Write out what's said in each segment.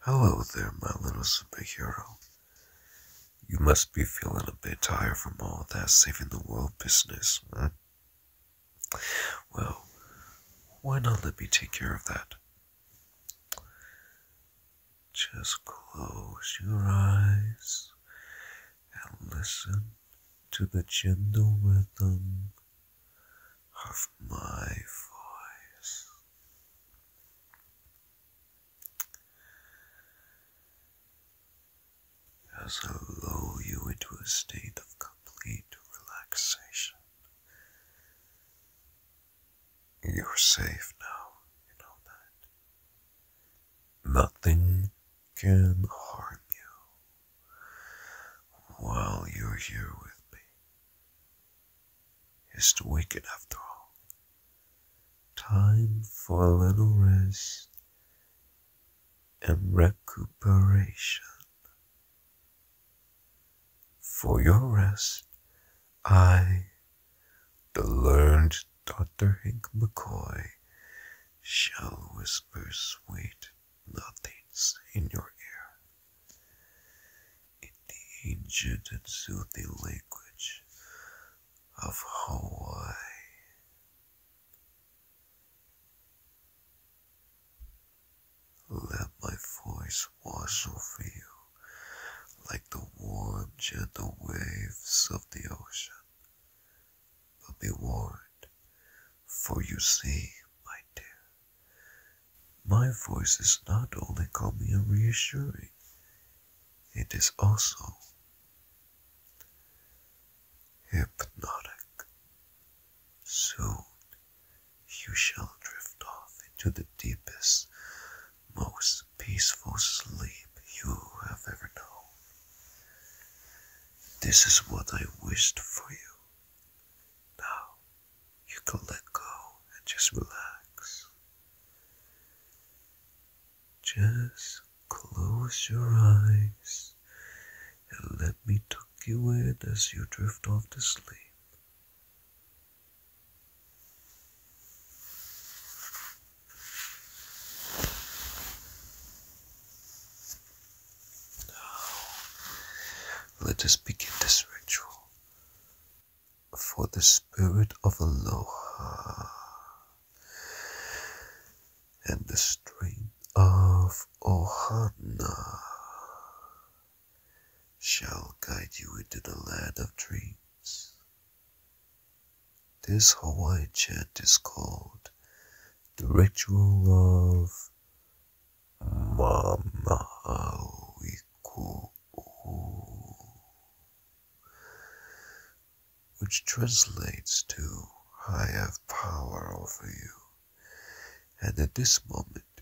Hello there, my little superhero. You must be feeling a bit tired from all that saving the world business, huh? Well, why not let me take care of that? Just close your eyes and listen to the gentle rhythm of my voice. As I lull you into a state of complete relaxation, you're safe now, you know that. Nothing can harm you while you're here with me. It's the wicked after all. Time for a little rest and recuperation. For your rest, I, the learned Dr. Hink McCoy, shall whisper sweet nothings in your ear. In the ancient and soothing language of Hawaii. Let my voice wash over you like the warm, gentle waves of the ocean. But be warned, for you see, my dear, my voice is not only calming and reassuring, it is also hypnotic. Soon you shall drift off into the deepest, most peaceful sleep you have ever known. This is what I wished for you. Now you can let go and just relax. Just close your eyes and let me take you in as you drift off to sleep. Now, let us begin this ritual. For the spirit of Aloha and the strength of Ohana shall guide you into the land of dreams. This Hawaiian chant is called the ritual of Ma Mamauiku, which translates to I have power over you, and at this moment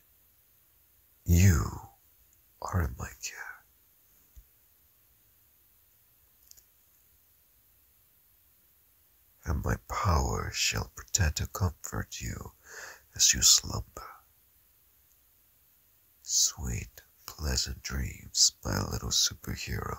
you are in my care and my power shall pretend to comfort you as you slumber. Sweet, pleasant dreams, my little superhero.